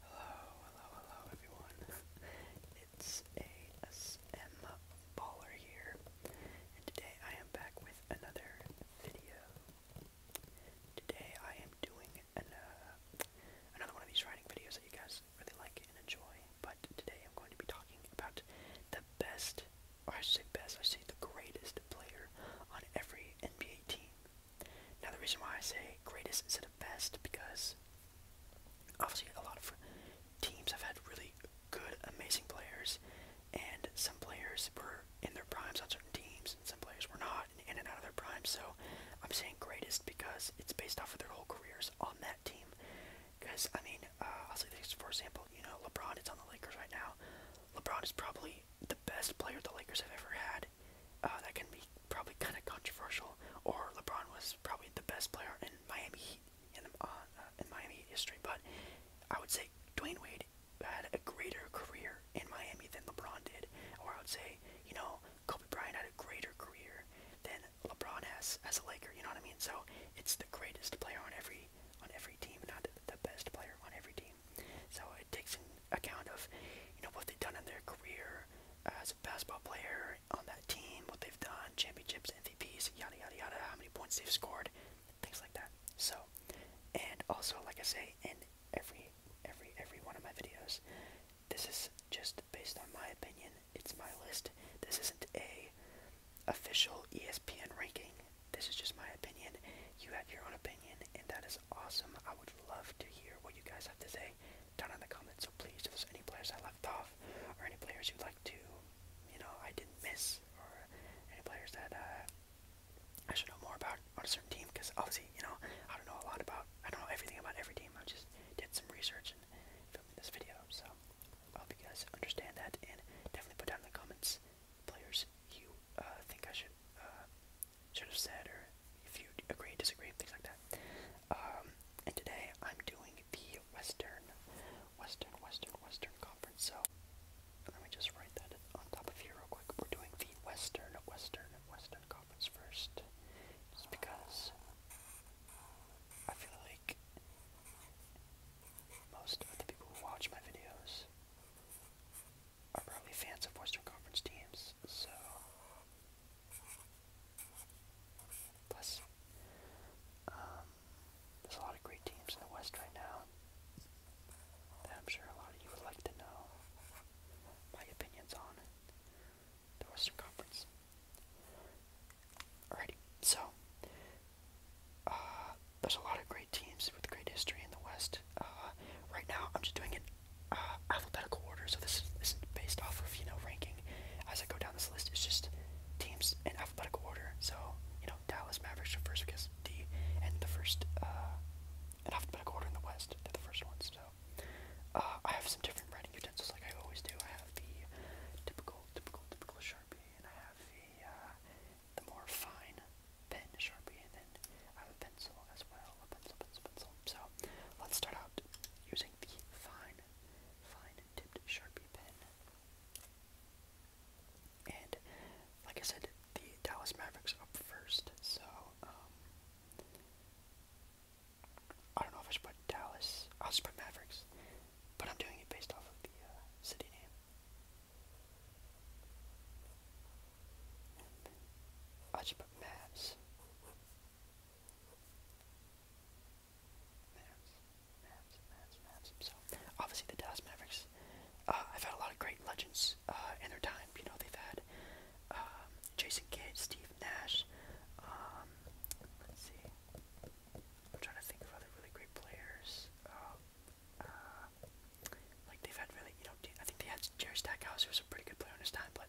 Hello, hello, hello everyone. It's ASM Baller here, and today I am back with another video. Today I am doing uh, another one of these writing videos that you guys really like and enjoy, but today I'm going to be talking about the best, or I say best, I should say the greatest player on every NBA team. Now the reason why I say greatest instead of best because obviously a lot of teams have had really good, amazing players, and some players were in their primes on certain teams, and some players were not in and out of their primes. So I'm saying greatest because it's based off of their whole careers on that team. Because I mean, uh, I'll say this for example, you know, LeBron is on the Lakers right now. LeBron is probably the best player the Lakers have ever had. Uh, that can be probably kind of controversial, or LeBron was probably the best player in Miami Heat in, uh, uh, in Miami Heat history. But I would say Dwayne Wade had a greater career in Miami than LeBron did, or I would say you know Kobe Bryant had a greater career than LeBron has as a Laker. You know what I mean? So it's the greatest player on every on every team, not the best player on every team. So it takes in account of you know what they've done in their career as a basketball player on that team, what they've done, championships, MVPs, yada yada yada, how many points they've scored, things like that. So, and also like I say in every every every one of my videos, this is just based on my opinion. It's my list. This isn't a official ESPN ranking. This is just my opinion. You have your own opinion, and that is awesome. I would love to hear what you guys have to say down in the comments. So please, if there's any players I left off, or any players you'd like to, you know, I didn't miss, or any players that uh, I should know more about on a certain team, because obviously, you know, I don't know a lot about, I don't know everything about every team. I just did some research and filming this video. So I hope you guys understand that, and definitely put down in the comments players you uh, think I should uh, should have said, or if you agree, disagree, things like that. Um, and today I'm doing the Western, Western, Western, Western Conference. So let me just write that on top of here real quick. We're doing the Western, Western, Western Conference first, just because I feel like most of the people who watch my videos are probably fans of Western Conference teams, so Plus, um, there's a lot of great teams in the West right now that I'm sure a lot of you would like to know my opinions on the Western Conference. Alrighty, so uh, there's a lot of great teams with great history in the West. Uh, right now, I'm just doing an uh, alphabetical order, so this is, this based off of you know ranking. As I go down this list, it's just teams in alphabetical order. So you know Dallas Mavericks are first because D, and the first uh, in alphabetical order in the West, they're the first ones. So uh, I have some different writing utensils, like I always do. I have the typical, typical, typical Sharpie, and I have the uh, the more fine pen Sharpie, and then I have a pencil as well, a pencil, pencil, pencil. So let's start out using the fine, fine tipped Sharpie pen. And like I said, the Dallas Mavericks up first, so um, I don't know if I should put Dallas. I'll just put Mavericks, but I'm doing it based off of the uh, city name. I should put Mavs. Mavs, obviously the Dallas Mavericks uh, have had a lot of great legends uh, in their time. You know they've had um, Jason Kidd, Steve Nash. Um, let's see. I'm trying to think of other really great players. Um, uh, like they've had really, you know, I think they had Jerry Stackhouse, who was a pretty good player in his time, but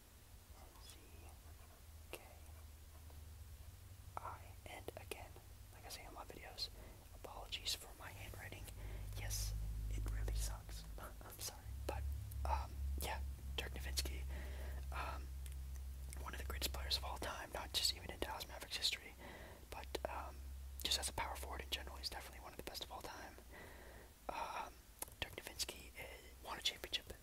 C K I. And again, like I say in my videos, apologies for my handwriting. Yes, it really sucks. I'm sorry. But, um, yeah, Dirk Nowitzki, um, one of the greatest players of all time, not just even in Dallas Mavericks history, but, um, just as a power forward in general, he's definitely one of the best of all time. Um, Dirk Nowitzki eh, won a championship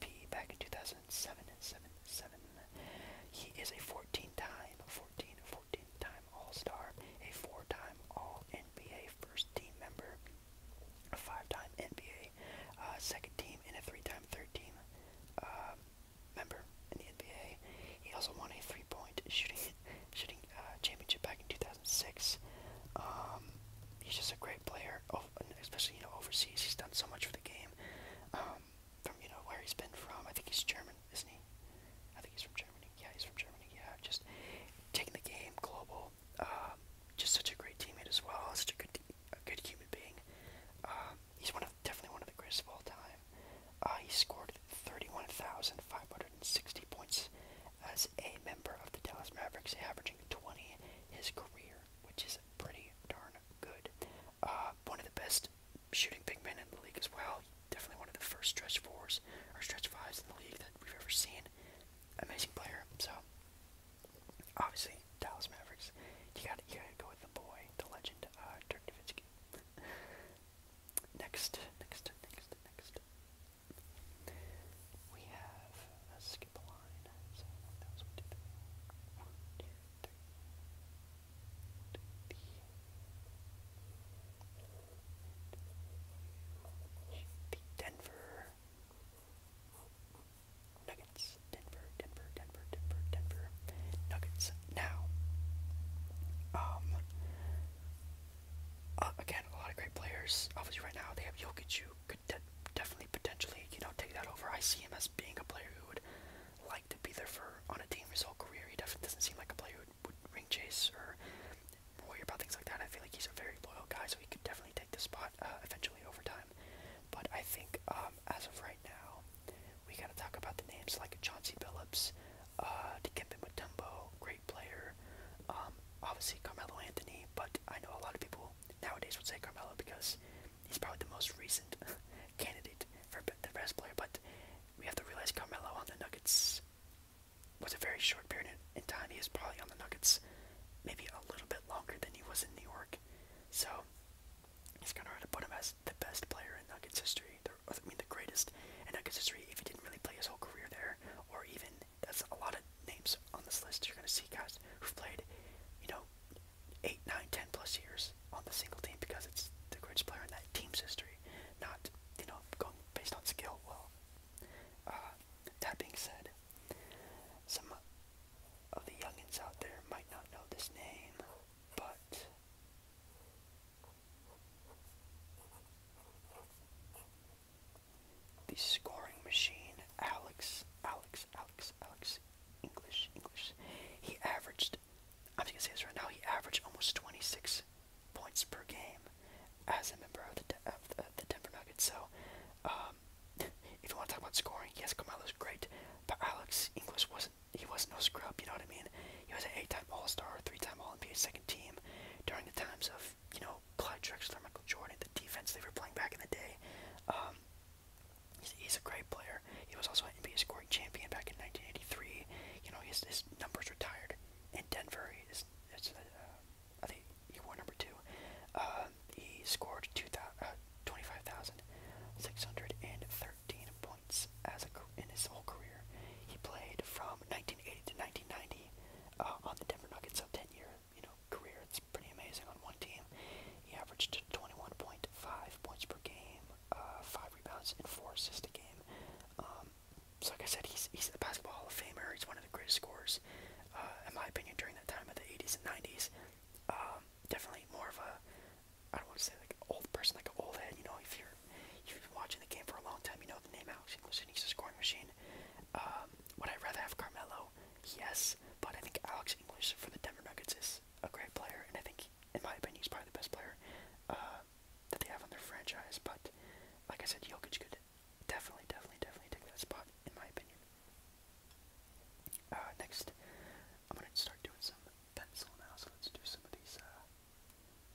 P back in 2007 and 7 7. He is a 14 time, 14, 14 time All Star, a 4 time All NBA first team member, a 5 time NBA uh, second team, and a 3 time third team uh, member in the NBA. He also won a 3 point shooting, shooting uh, championship back in 2006. Um, he's just a great player, especially you know overseas. He's done so much for the game. Um, from you know where he's been from, I think he's German, isn't he? I think he's from Germany. Yeah, he's from Germany. Yeah, just taking the game global. Um, just such a great teammate as well. Such a good, good human being. Um, he's one of definitely one of the greatest of all time. Uh, he scored thirty-one thousand five hundred and sixty points as a member of the Dallas Mavericks, averaging twenty his career, which is pretty darn good. Uh, one of the best shooting big men in the league as well. Definitely one of the first stretch fours or stretch fives in the league that we've ever seen. Amazing player. So obviously Dallas Mavericks. You got you gotta go with the boy, the legend, uh, Dirk Nowitzki. next, next, next, next. We have. let uh, skip along. Denver Nuggets. Denver, Denver, Denver, Denver, Nuggets. Now, um, uh, again, a lot of great players. Obviously, right now they have Jokic, could definitely potentially, you know, take that over. I see him as being a player who would like to be there for on a team his whole career. He definitely doesn't seem like a player who would, ring chase or worry about things like that. I feel like he's a very loyal guy, so he could definitely take the spot uh, eventually over time. But I think um, as of right now, we gotta talk about the names like Chauncey Billups, uh, Dikembe Mutombo, great player. Um, obviously Carmelo Anthony, but I know a lot of people nowadays would say Carmelo because he's probably the most recent candidate for the best player. But we have to realize Carmelo on the Nuggets was a very short period in time. He was probably on the Nuggets maybe a little bit longer than he was in New York. So it's kind of hard to put him as the best player in Nuggets history. The, I mean, the greatest in Nuggets history if he didn't really play his whole career there, or even that's a lot of names on this list. You're going to see guys who've played, you know, eight, nine, ten plus years on the single team because it's the greatest player in that team's history, not you know going based on skill. Well, uh, that being said, some of the youngins out there might not know this name, but the scoring machine, Alex, Alex, Alex Alex, Alex English, English. He averaged, I'm just gonna say this right now, he averaged almost 26 points per game as a member of the, De of the, Denver Nuggets. So, um, if you want to talk about scoring, yes, Carmelo's great, but Alex English wasn't, he wasn't no scrub, you know what I mean? He was an eight-time All-Star, three-time All-NBA second team during the times of, you know, Clyde Drexler, Michael Jordan, the defense they were playing back in the day. Um, He's, a great player. He was also an NBA scoring champion back in 1983. You know, his, his numbers retired In Denver, is it's, uh, I think he wore number two. Uh, he scored two uh, points as a, in his whole career. He played from 1980 to 1990 on the Denver Nuggets, so 10 year you know career. It's pretty amazing on one team. He averaged 21.5 points per game, uh, five rebounds, and four assists a game. Um, so, like I said, he's he's a basketball Hall of Famer. He's one of the greatest scorers, uh, in my opinion, during that time of the 80s and 90s. Um, definitely more of a I don't want to say like an old person, like an old head. You know, if you're have been watching the game for a long time, you know the name Alex English, and he's a scoring machine. Um, would I rather have Carmelo? Yes, but I think Alex English for the Denver Nuggets is a great player, and I think in my opinion, he's probably the best player uh, that they have on their franchise. But like I said, Jokic could definitely, definitely, definitely take that spot, in my opinion. Uh, next, I'm gonna start doing some pencil now, so let's do some of these uh,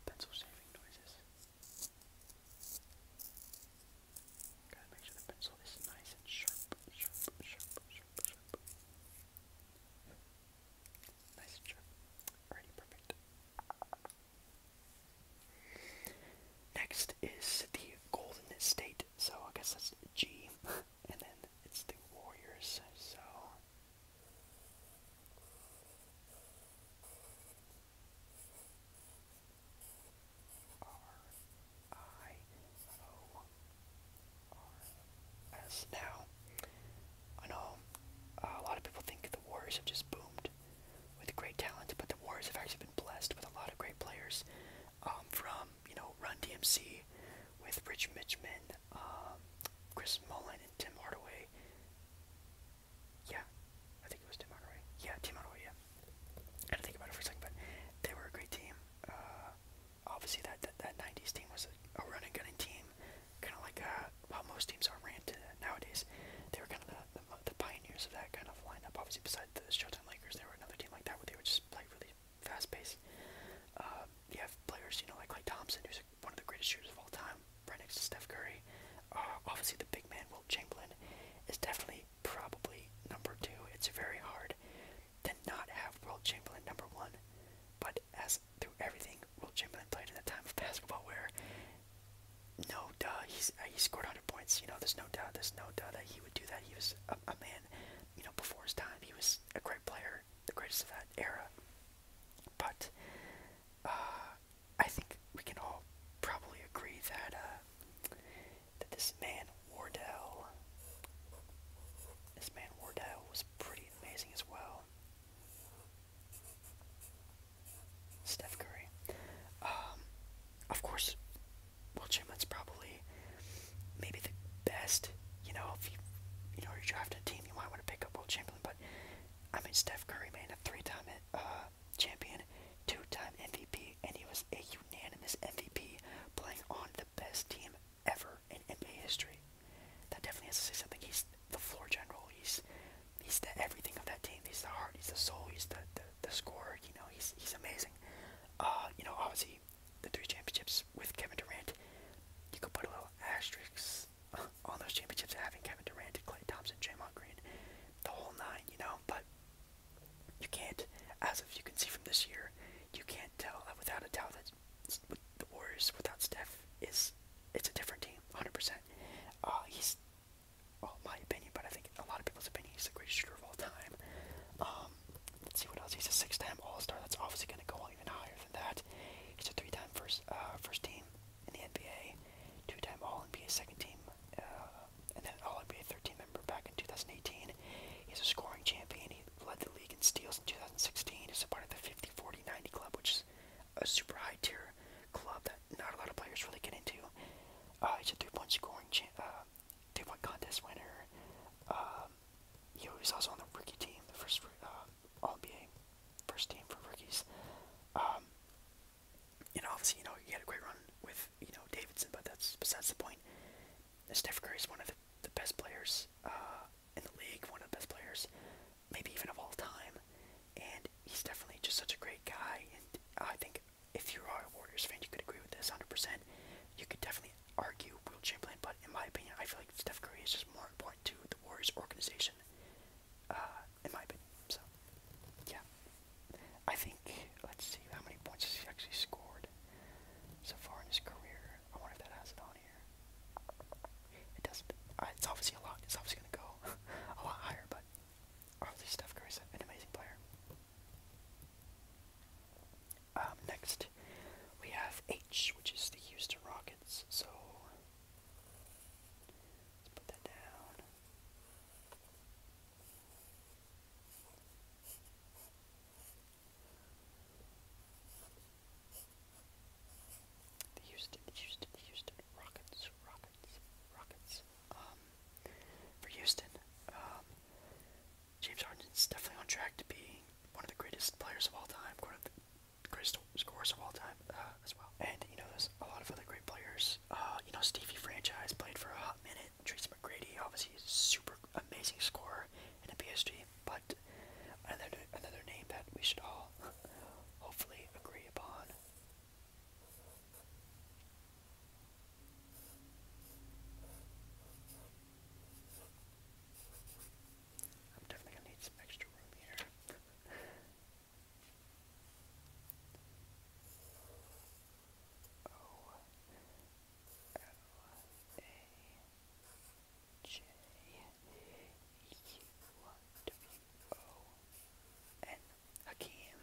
pencil shaving noises. Gotta make sure the pencil is nice and sharp, sharp, sharp, sharp, sharp. Next is the Golden State, so I guess that's G, and then it's the Warriors, so. R I O are as now. I know uh, a lot of people think the Warriors have just boomed with great talent, but the Warriors have actually been blessed with a lot of great players um, from, you know, Run DMC with Rich Mitchman, um, Chris Mullen, and Tim Hardaway. Yeah, I think it was Tim Hardaway. Yeah, Tim Hardaway, yeah. I had to think about it for a second, but they were a great team. Uh, obviously that that, that '90s team was a, running run gunning team, kind of like uh, how most teams are ran to nowadays. They were kind of the, the, pioneers of that kind of lineup. Obviously, besides the Showtime Lakers, there were another team like that where they were just play really fast pace. Um, you have players, you know, like Clay Thompson, who's one of the greatest shooters of all time, right next to Steph Curry. Uh, obviously, the big man, Will Chamberlain, is definitely probably number two. It's very hard did not have World Chamberlain number one, but as through everything, World Chamberlain played in a time of basketball where no duh, he's uh, he scored 100 points. You know, there's no doubt, there's no doubt that he would do that. He was a, a man, you know, before his time. He was a great player, the greatest of that era. But uh, I think we can all probably agree that uh, that this man Wardell, this man Wardell was pretty amazing as well. Steph Curry. Um, of course, Will probably maybe the best. You know, if you you know you're a team, you might want to pick up Will But I mean, Steph Curry, man, a three-time uh, champion, two-time MVP, and he was a unanimous MVP playing on the best team ever in NBA history. That definitely has to say something. He's the floor general. He's he's the everything of that team. He's the heart. He's the soul. He's the the, the scorer. You know, he's he's amazing. Uh, you know, obviously the three championships with Kevin Durant. You could put a little asterisk on those championships having Kevin Durant, and Clay Thompson, Draymond Green, the whole nine. You know, but you can't, as of you can see from this year, you can't tell that without a doubt that that the Warriors without Steph is it's a different team, 100%. Uh, he's, my opinion, but I think a lot of people's opinion, he's the greatest shooter of all time. Um, see what else. He's a six-time All-Star. That's obviously going to go even higher than that. He's a three-time first uh, first team in the NBA, two-time All-NBA second team, uh, and then All-NBA third team member back in 2018. He's a scoring champion. He led the league in steals in 2016. Is a part of the 50 club, which is a super high tier club that not a lot of players really get into. Uh, he's a three-point scoring, uh, three-point contest winner. Um, you also on the rookie team, the first uh, All NBA first team for rookies. Um, and obviously, you know, he had a great run with you know Davidson, but that's besides the point. Steph Curry is one of the, the best players uh, in the league, one of the best players, maybe even of all time. And he's definitely just such a great guy. And I think if you are a Warriors fan, you could agree with this 100%. You could definitely argue Will Chamberlain, but in my opinion, I feel like Steph Curry is just more important to the Warriors organization, uh, in my opinion. So, yeah. I think, let's see how many points he's actually scored so far in his career. I wonder if that has it on here. It doesn't. it's obviously a lot. It's obviously gonna go a lot higher, but obviously Steph Curry's an amazing player. Um, next, we have H, which is the Houston Rockets. So let's put that down. The Houston, the Houston, the Houston Rockets, Rockets, Rockets. Um, for Houston, um, James Harden's definitely on track to be one of the greatest players of all time, one of the greatest scorers of all time uh, as well. And you know, there's a lot of other great players. Uh, you know, Stevie Franchise played for a hot minute. Tracy McGrady, obviously, super amazing scorer in the PSG, but not another another name that we should all hopefully agree upon. I'm definitely gonna need some extra room here. O L A J U W O N Hakeem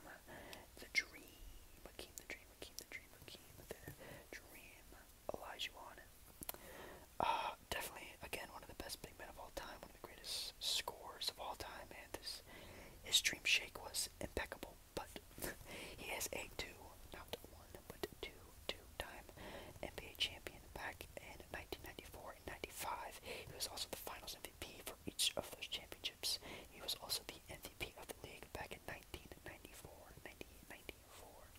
the Dream Hakeem the Dream Hakeem the Dream Hakeem the Dream Elijah on Uh definitely again one of the best big men of all time, one of the greatest scores of all time, and this his dream shake was impeccable, but he has a two, not one, but two two-time NBA champion back in 1994 and 95. He was also the Finals MVP for each of those championships. He was also the MVP of the league back in 1994. 1994.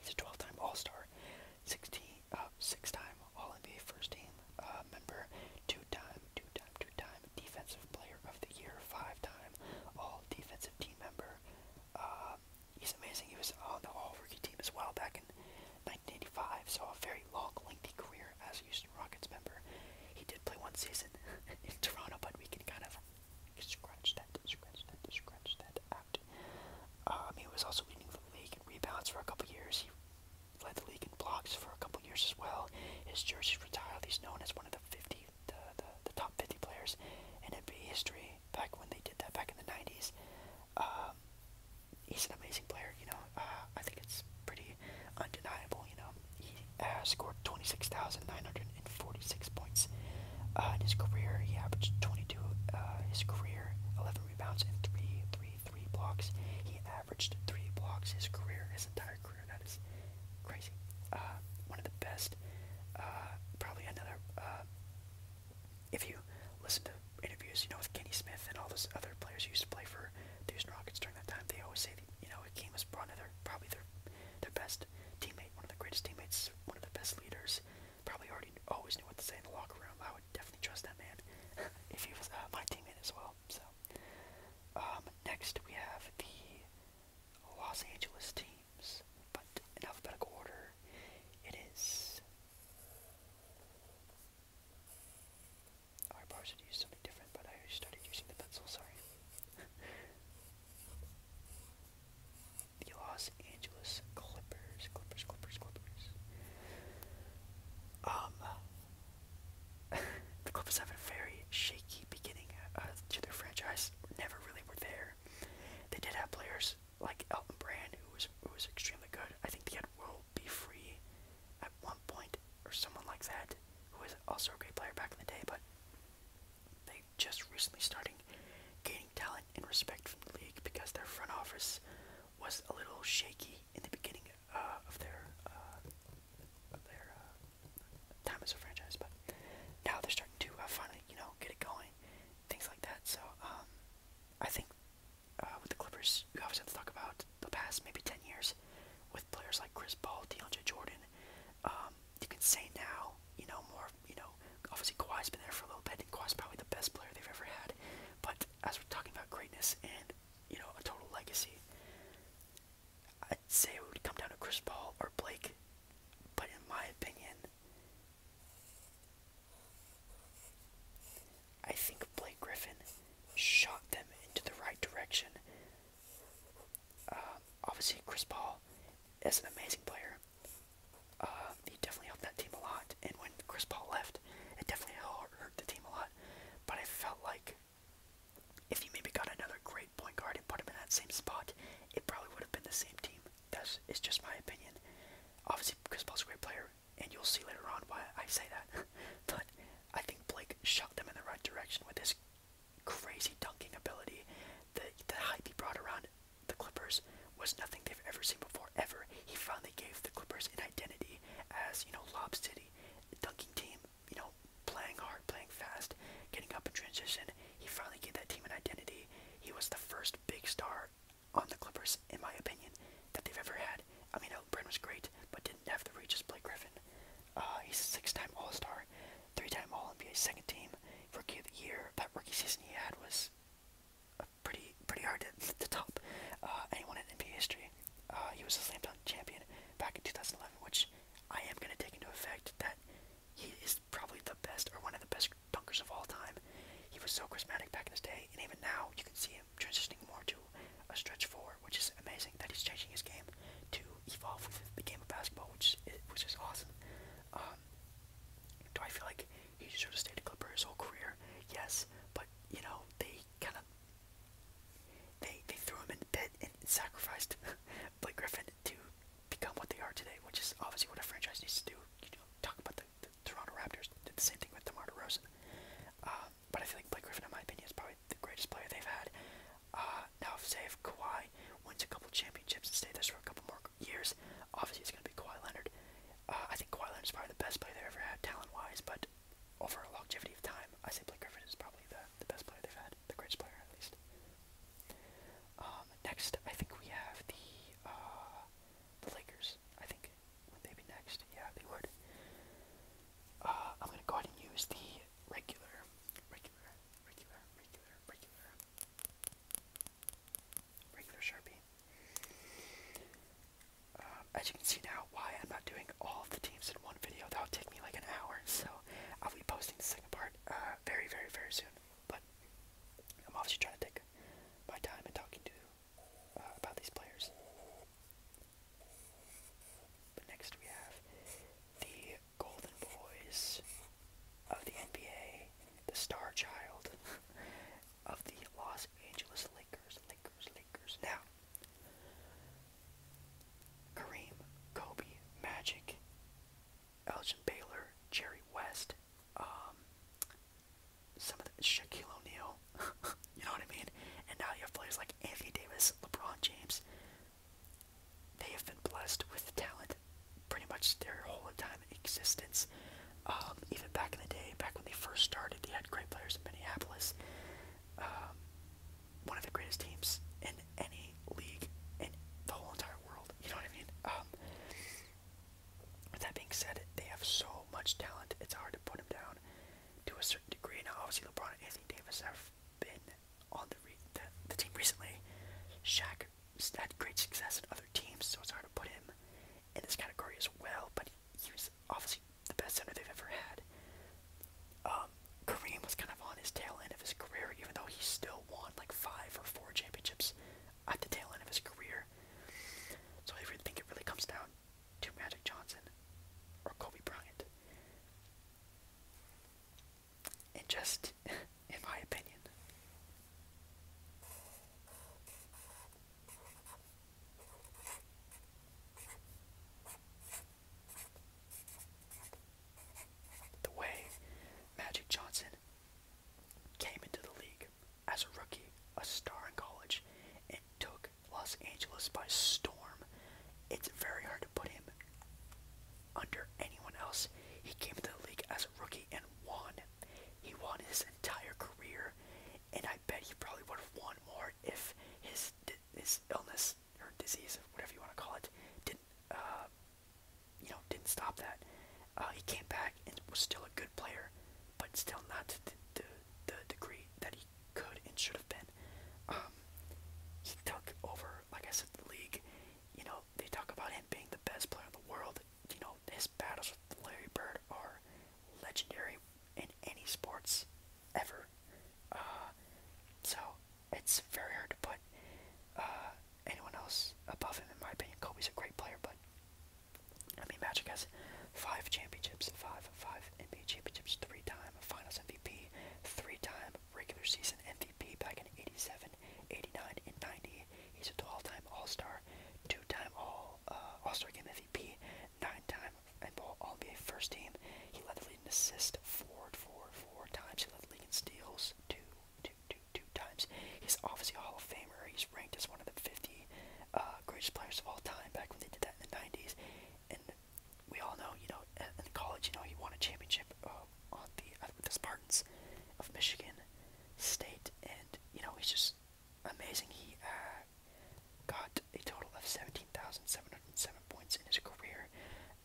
He's a 12-time All-Star, uh, six-time All-NBA First Team uh, member, two-time, two-time, two-time Defensive Player of the Year, five-time All-Defensive Team member, uh, he's amazing. He was on the All Rookie team as well back in 1985, so a very long, lengthy career as a Houston Rockets member. He did play one season in Toronto, but we can kind of scratch that, scratch that, scratch that out. Um, he was also leading the league in rebounds for a couple years. He led the league in blocks for a couple years as well. His jersey's retired. He's known as one of the 50, the, the top 50 players in NBA history back when they did that back in the 90s. Um, he's an amazing player, you know. Uh, I think it's pretty undeniable, you know. He uh, scored 26,946 points in his career. He averaged 22 uh, his career, 11 rebounds, and 3, 3, 3 blocks. He averaged 3 blocks his career, his entire career. That is crazy. Uh, one of the best, probably another if you listen to interviews, you know, with Kenny Smith and all those other players who used to play for the Houston Rockets during that time, they always say that, you know, Hakeem was probably their, probably their, their best teammate, one of the greatest teammates, one of the best leaders, probably already always knew what to say in the locker room. I would definitely trust that man if he was uh, my teammate as well. So, um, next we have the Los Angeles team but in alphabetical order, it is. Our oh, bars would use something different, but I started using the pencil, sorry. the Los Angeles Clippers, Clippers, Clippers, Clippers. Um, the Clippers have a very shaky beginning uh, to their franchise. Never really were there. They did have players like Elton Brand, who was who was extremely good. I think they had Will Be Free at one point, or someone like that, who was also a great player back in the day. But they just recently starting gaining talent and respect from the league because their front office was a little shaky in the beginning uh, of their uh, their uh, time as a franchise. But now they're starting to uh, finally, you know, get it going, things like that. So. um I think uh, with the Clippers, you always have to talk about the past maybe 10 years with players like Chris Paul, DeAndre Jordan. Um, you can say now, you know, more, you know, obviously Kawhi's been there for a little bit, and Kawhi's probably the best player they've ever had. But as we're talking about greatness and, you know, a total legacy, I'd say it would come down to Chris Paul or Blake. But in my opinion, I think Blake Griffin shot them into the right direction. Um, obviously, Chris Paul is an amazing player. Um, he definitely helped that team a lot, and when Chris Paul left, it definitely hurt the team a lot. But I felt like if you maybe got another great point guard and put him in that same spot, it probably would have been the same team. That's it's just my opinion. Obviously, Chris Paul's a great player, and you'll see later on why I say that. but I think Blake shot them in the right direction with his crazy dunking ability. The the hype he brought around the Clippers was nothing they've ever seen before. Ever he finally gave the Clippers an identity as you know Lob City, dunking team. You know, playing hard, playing fast, getting up in transition. He finally gave that team an identity. He was the first big star on the Clippers, in my opinion, that they've ever had. I mean, Brand was great, but didn't have the reaches Blake Griffin. Uh, he's a six-time All-Star, three-time All-NBA second team, Rookie of the Year. That rookie season he had was uh, pretty pretty hard to, top uh, anyone in NBA history. Uh, he was a slam dunk champion back in 2011, which I am going to take into effect that he is probably the best or one of the best dunkers of all time. He was so charismatic back in his day, and even now you can see him transitioning more to a stretch four, which is amazing that he's changing his game to evolve with the game of basketball, which is, which is awesome. Um, do I feel like he should have stayed a Clipper his whole career? Yes, but you know they kind of they they threw him in bed and sacrificed Blake Griffin to become what they are today, which is obviously what a franchise needs to do. You know, talk about the the Toronto Raptors did the same thing with DeMar DeRozan. Uh, but I feel like Blake Griffin, in my opinion, is probably the greatest player they've had. Uh, now, if say if Kawhi wins a couple championships and stays there for a couple more years, obviously it's going to be Kawhi Leonard. Uh, I think Kawhi Leonard is probably the best player they've ever had, talent-wise, but over a longevity of time, I say Blake Griffin is probably the, the best player they've had, the greatest player at least. Um, next, I think we have the uh, the Lakers. I think would they be next? Yeah, they would. Uh, I'm gonna go ahead and use the regular, regular, regular, regular, regular, regular Sharpie. Um, as you can see now, why I'm not doing all of the teams in one video. That will take me like an hour, so I'll be posting the second part uh, very, very, very soon. But I'm obviously trying to take my time and talking to you. Uh, about these players. But next we have the golden boys of the NBA, the star child of the Los Angeles Lakers, Lakers, Lakers. Now, Kareem, Kobe, Magic, Elgin Baylor, Jerry West, um, some of the Shaquille O'Neal, you know what I mean? And now you have players like Anthony Davis, LeBron James. They have been blessed with talent pretty much their whole time existence. Um, even back in the day, back when they first started, they had great players in Minneapolis. Um, one of the greatest teams in any league in the whole entire world. You know what I mean? Um, with that being said, they have so much talent, it's hard to put them down to a certain degree. Now, obviously, LeBron and Anthony Davis have been on the, re the, the team recently. Shaq had great success in other teams, so it's hard to put him in this category as well, but he was obviously the best center they've ever had. Um, Kareem was kind of on his tail end of his career, even though he still won like five or four championships at the tail end of his career. So I really think it really comes down to Magic Johnson or Kobe Bryant. And just, in my opinion, the way Magic Johnson came into the league as a rookie, a star in college, and took Los Angeles by storm. It's very hard to put him under anyone else. He came to the league as a rookie and won. He won his entire career, and I bet he probably would have won more if his his illness or disease, whatever you want to call it, didn't uh, you know didn't stop that. Uh, he came back and was still a good player but still not to the, the, degree that he could and should have been. Um, he took over, like I said, the league. You know, they talk about him being the best player in the world. You know, his battles with Larry Bird are legendary in any sports ever. Uh, so it's very hard to put uh, anyone else above him, in my opinion. Kobe's a great player, but I mean, Magic has five championships, five, five NBA championships, three-time Finals MVP, three-time regular season MVP back in 87, 89, and 90. He's a 12-time All-Star, two-time All uh, All-Star Game MVP, nine-time All NBA First Team. He led the league in assists four, four, four times. He led the league in steals two, two, two, two times. He's obviously a Hall of Famer. He's ranked as one of the 50 the uh, greatest players of all time back when they did that in the 90s. And we all know, you know, in college, you know, he won a championship uh, on the uh, with the Spartans of Michigan State, and you know, he's just amazing. He uh, got a total of 17,707 points in his career,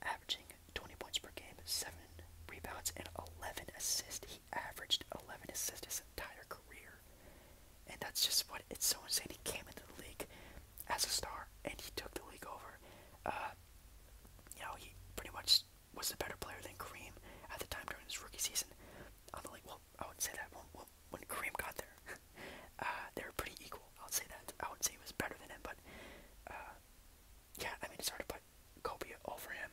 averaging 20 points per game, seven rebounds, and 11 assists. He he averaged 11 assists his entire career. And that's just what it's so insane. He came into the league as a star and he took the league over. Uh, you know, he pretty much was a better player than Kareem at the time during his rookie season. On the league, well, I wouldn't say that when, when Kareem got there. uh, they were pretty equal. I would say that. I wouldn't say he was better than him, but uh, yeah, I mean, it's hard to put Kobe over him.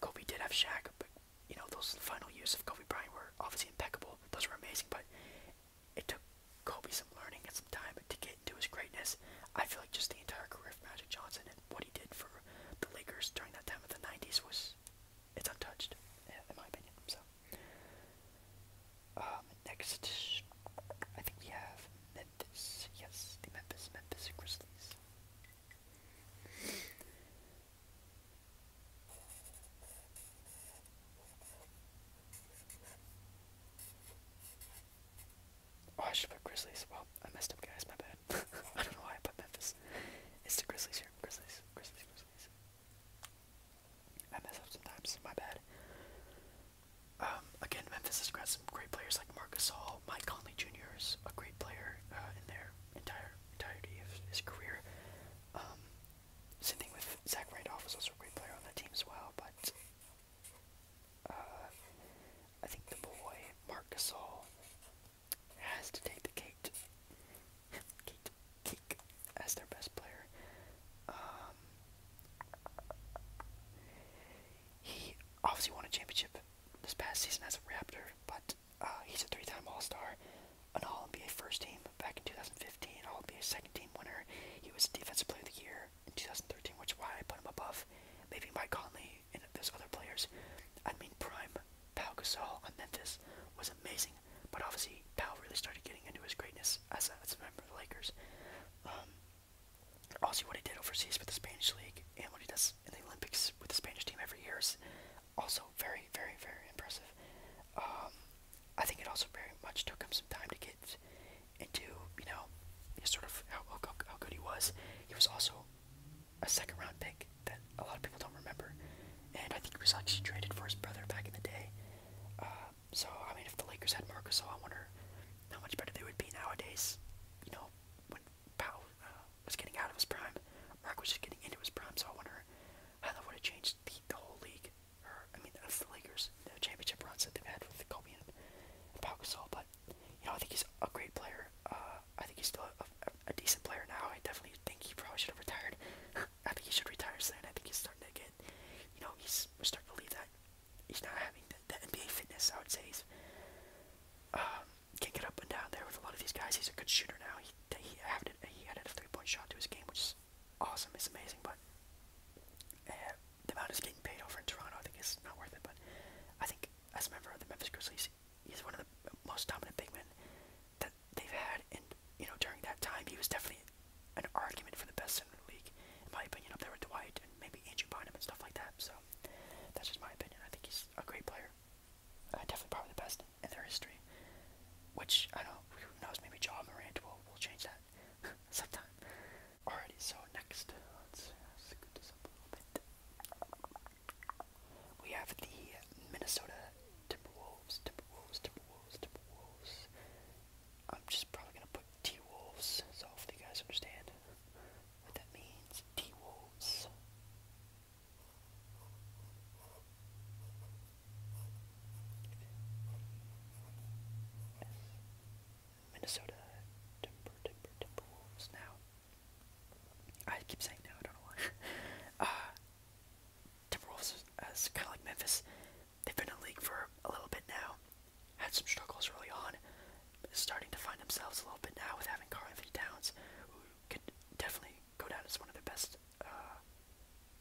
Kobe did have Shaq, but you know, those final years of Kobe Bryant were obviously impeccable. Those were amazing, but it took Kobe some learning and some time to get into his greatness. I feel like just the entire career of Magic Johnson and what he did for the Lakers during that time of the 90s was, it's untouched, in my opinion, so. Um, next, I think we have Memphis. Yes, the Memphis, Memphis Grizzlies. Oh, I should put Grizzlies. Well, I messed up, guys. My bad. I don't know why I put Memphis. It's the Grizzlies here. Grizzlies. Grizzlies. Grizzlies. I mess up sometimes. My bad. Um, again, Memphis has got some great players like Marcus Hall. Mike Conley Jr. is a great player uh, in their entire entirety of his career. Um, same thing with Zach Randolph was also a great player on that team as well, but uh, I think the boy Mark Gasol has to take the Kate, Kate, Kate as their best player. Um, he obviously won a championship this past season as a Raptor, but uh, he's a three-time All-Star, an All-NBA first team back in 2015, All-NBA second team winner. He was Defensive Player of the Year in 2013, which is why I put him above maybe Mike Conley and those other players. I mean, prime Pau Gasol on Memphis was amazing, but obviously Pau really started getting into his greatness as a, member of the Lakers. also, um, what he did overseas with the Spanish League and what he does in the Olympics with the Spanish team every year is also very, very, very impressive. Um, I think it also very much took him some time to get into, you know, sort of how, how, how good he was. He was also a second round pick that a lot of people don't remember. And I think he was actually traded for his brother back in the day. Uh, so, I mean, if the Lakers had Marcus, I wonder how much better they would be nowadays, you know, when Powell uh, was getting out of his prime. Merck was just getting into his prime, so I wonder how that would have changed the, the whole league. Or, I mean, the Lakers, the championship runs that they've had with Kobe and, Paul Pau Gasol. But, you know, I think he's a great player. Uh, I think he's still a, a, decent player now. I definitely think he probably should have retired. I think he should retire soon. I think he's starting to get, you know, he's starting to believe that he's not having the, NBA fitness. I would say he's um, can get up and down there with a lot of these guys. He's a good shooter now. He that he added he added a three point shot to his game, which is awesome. It's amazing, but eh, the amount he's getting paid over in Toronto, I think is not worth it. But I think as a member of the Memphis Grizzlies, he's one of the most dominant big men that they've had, and you know during that time, he was definitely an argument for the best center in the league, in my opinion, up there with Dwight and maybe Andrew Bynum and stuff like that. So that's just my opinion. I think he's a great player uh, definitely probably the best in their history. Which I don't. Who knows? Maybe John Morant will will change that sometime. Alrighty. So next, let's scoot this up a little bit. We have the Minnesota Timberwolves. Timberwolves. Timberwolves. Timberwolves. I'm just probably gonna put T Wolves. So hopefully you guys understand what that means. T Wolves. Minnesota Timber Timber Timberwolves now. I keep saying no, I don't know why. Timberwolves uh, is, uh, kind of like Memphis. They've been in the league for a little bit now. Had some struggles early on. Starting to find themselves a little bit now with having Carl Towns, who could definitely go down as one of their best, uh,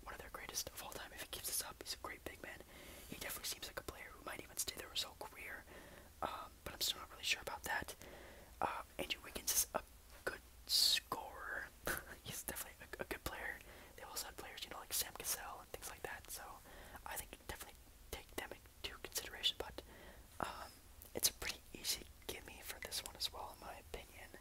one of their greatest of all time. If he keeps this up, he's a great big man. He definitely seems like a player who might even stay there his whole career, um, but I'm still not really sure about that. Uh, Andrew Wiggins is a good scorer. he's definitely a, good player. They also had players, you know, like Sam Cassell and things like that. So I think definitely take them into consideration. But um, it's a pretty easy gimme for this one as well, in my opinion. G A R N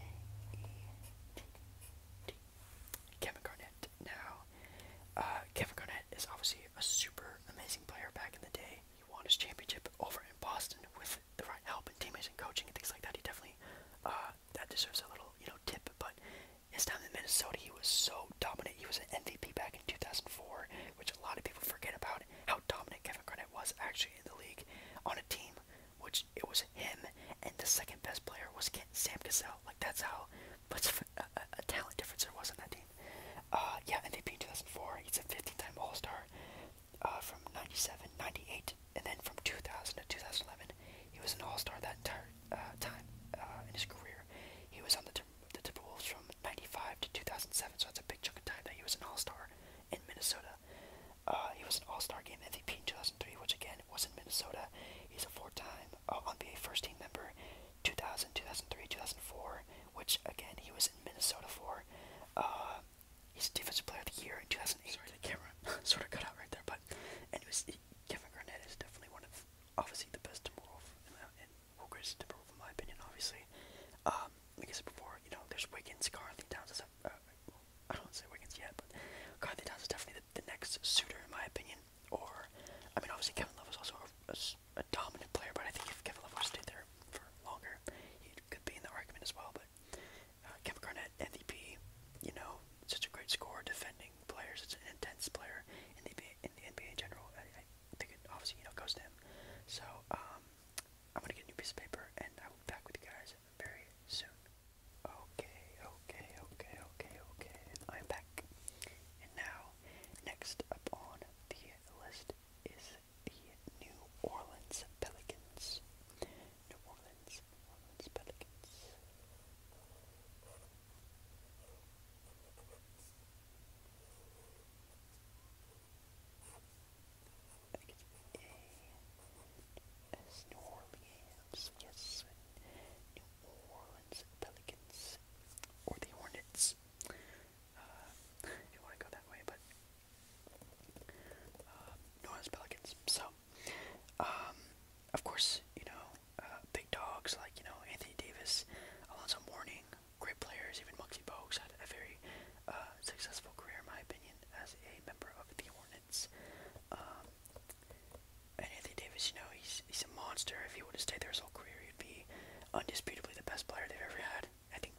A E T T. Kevin Garnett. Now, uh, Kevin Garnett is obviously a super amazing player back in the day. He won his championship over in Boston with the right help and teammates and coaching and things like that. He definitely uh, that deserves a little, you know, tip. But his time in Minnesota, he was so dominant. He was an MVP back in 2004, which a lot of people forget about how dominant Kevin Garnett was actually in the league on a team, which it was him and the second best player was Sam Cassell. Like that's how much a, talent difference there was on that team. Uh, yeah, MVP 2004. He's a 15-time All-Star uh, from 97, 98, and then from 2000 to 2011, he was an all-star that entire uh, time uh, in his career. He was on the, the Timberwolves from 95 to 2007, so that's a big chunk of time that he was an all-star in Minnesota. Uh, he was an all-star game MVP in 2003, which again was in Minnesota. He's a four-time uh, NBA first-team member, 2000, 2003, 2004, which again he was in Minnesota for. Uh, He's Defensive Player of the Year in 2008. Sorry, the camera sort of cut out right there, but anyways, Kevin Garnett is definitely one of, obviously, the best Timberwolves, and, uh, and well, in my opinion, obviously. Um, like I said before, you know, there's Wiggins, Carly Towns is, uh, well, I don't want to say Wiggins yet, but Carly Towns is definitely the, the next suitor in my opinion. Or, I mean, obviously Kevin Love was also a, dominant player, but I think if Kevin Love stay there for longer, he could be in the argument as well. But uh, Kevin Garnett, MVP, you know, such a great scorer, defending player, such an intense player in the in the NBA general. I, think obviously, you know, goes to him. So, um, I'm gonna get a new piece of paper and I will be back with you guys very soon. Okay, okay, okay, okay, okay. I'm back. And now, next up on the list is the New Orleans Pelicans. New Orleans, New Orleans Pelicans. I think New Orleans, yes, New Orleans Pelicans, or the Hornets, if uh, you want to go that way, but, uh, New Orleans Pelicans, so, so, um, of course, you know, uh, big dogs like, you know, Anthony Davis, Alonzo Mourning, great players, even Muxie Bogues had a very uh, successful career, in my opinion, as a member of the Hornets. Um, and Anthony Davis, you know, he's, he's a monster. If he would have stayed there his whole career, he'd be undisputably the best player they've ever had. I think,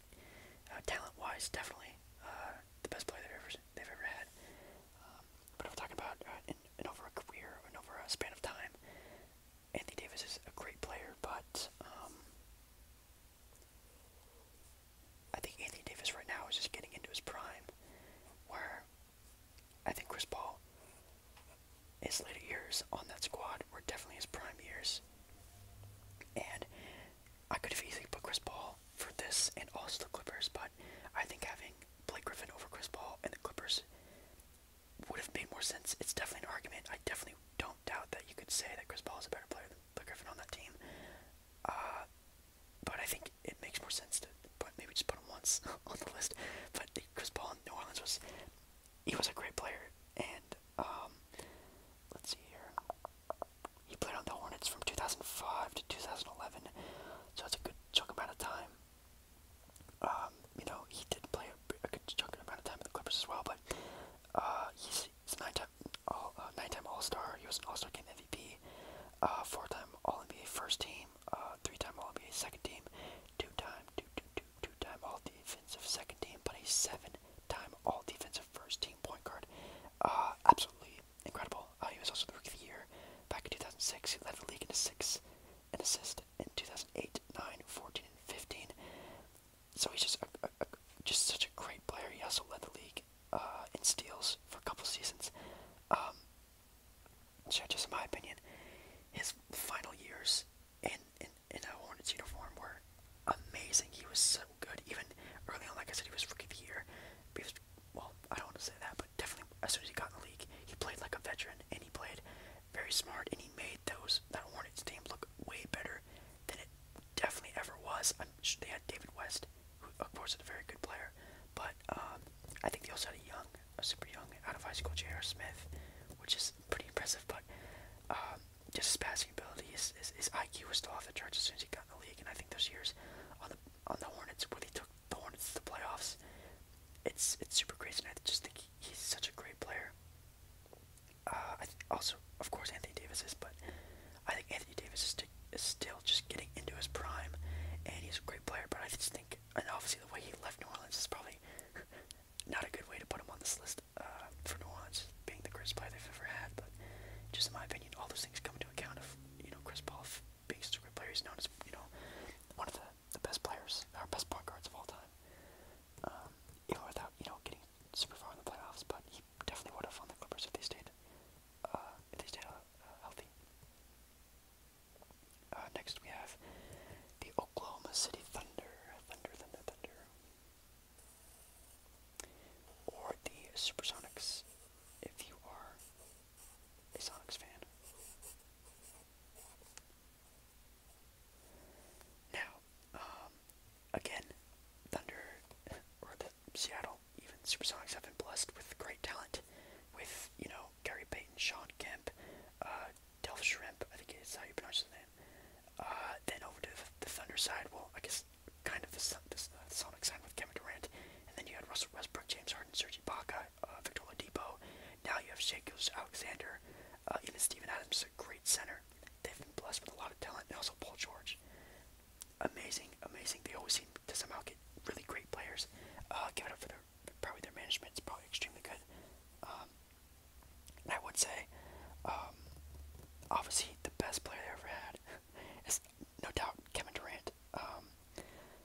uh, talent-wise, definitely uh, the best player they've ever they've ever had. Um, but if we talking about uh, in, in over career, and over span of time, Anthony Davis is a great player, but um, I think Anthony Davis right now is just getting into his prime, where I think Chris Paul, his later years on that squad were definitely his prime years, and I could have easily put Chris Paul for this and also the Clippers, but I think having Blake Griffin over Chris Paul and the Clippers would have made more sense. It's definitely an argument. I definitely don't doubt that you could say that Chris Paul is a better player than Blake Griffin on that team. Uh, but I think it makes more sense to put, maybe just put him once on the list. But Chris Paul in New Orleans was, he was a great player. And um, let's see here. He played on the Hornets from 2005 to 2011, so that's a good chunk amount of time. Um, you know, he did play a, a good chunk amount of time with the Clippers as well, but uh, he's, he's nine-time all, uh, nine-time All-Star. He was an All-Star Game MVP, uh, four-time All-NBA First Team, three-time All-NBA Second Team, two-time, two, two, two, two-time All-Defensive Second Team, but a seven-time All-Defensive First Team point guard. absolutely incredible. Oh, he was also the Rookie of the Year back in 2006. He led the league in six and assists in 2008, 9, 14, and 15. So he's just a, a, just such a great player. He also led the league uh, in steals for a couple seasons. Um, so just in my opinion, his final years in in, in a Hornets uniform were amazing. He was so good. Even early on, like I said, he was Rookie of the Year well, I don't want to say that, but definitely as soon as he got in the league, he played like a veteran and he played very smart and he made those that Hornets team look way better than it definitely ever was. I'm sure they had David West, who of course is a very good player, but um, I think they also had a young, a super young out of high school J.R. Smith, which is pretty impressive. But um, just his passing ability, his, his, his IQ was still off the charts as soon as he got in the league, and I think those years on the on the Hornets where they took the one that's the playoffs. It's it's super crazy, and I just think he, he's such a great player. Uh, I also, of course, Anthony Davis is, but I think Anthony Davis is, is still just getting into his prime, and he's a great player. But I just think, and obviously, the way he left New Orleans is probably not a good way to put him on this list uh, for New Orleans being the greatest player they've ever had. But just in my opinion, all those things come into account of you know Chris Paul biggest super player. He's known as you know one of the, the best players, our best point guards of all time. Um, even without you know getting super far in the playoffs, but he definitely would have on the Clippers if they stayed uh, if they stayed uh, healthy. Uh, next we have the Oklahoma City Thunder, Thunder, Thunder, Thunder, or the Supersonics. If you are a Sonics fan. Now, um, again, Thunder or the Seattle, even Supersonics have been blessed with great talent. With you know Gary Payton, Sean Kemp, uh, Delph Shrimp, I think is how you pronounce his name. Uh, then over to the, Thunder side, well, I guess kind of the, the, the Sonic side with Kevin Durant, and then you had Russell Westbrook, James Harden, Serge Ibaka, uh, Victor Oladipo. Now you have Shea Alexander, uh, even Steven Adams a great center. They've been blessed with a lot of talent, and also Paul George. Amazing, amazing. They always seem to somehow get really great players. Uh, give it up for their probably their management is probably extremely good. Um, and I would say, um, obviously the best player they ever had is no doubt Kevin Durant. Um,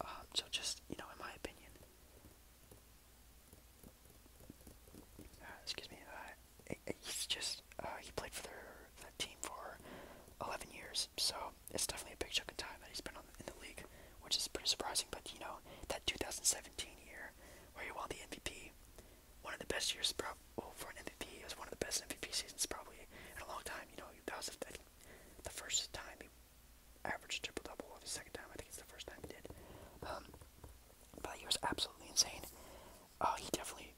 Uh, so just, you know, in my opinion, uh, excuse me, uh, he's just, he played for their, team for 11 years, so it's definitely a big chunk of time that he's been in the league, which is pretty surprising, but, you know, that 2007 year, where he won the MVP. One of the best years, pro well, for an MVP. It was one of the best MVP seasons probably in a long time. You know, that was the, the first time he averaged triple double, or the second time. I think it's the first time he did. Um, but he was absolutely insane. Uh, he definitely,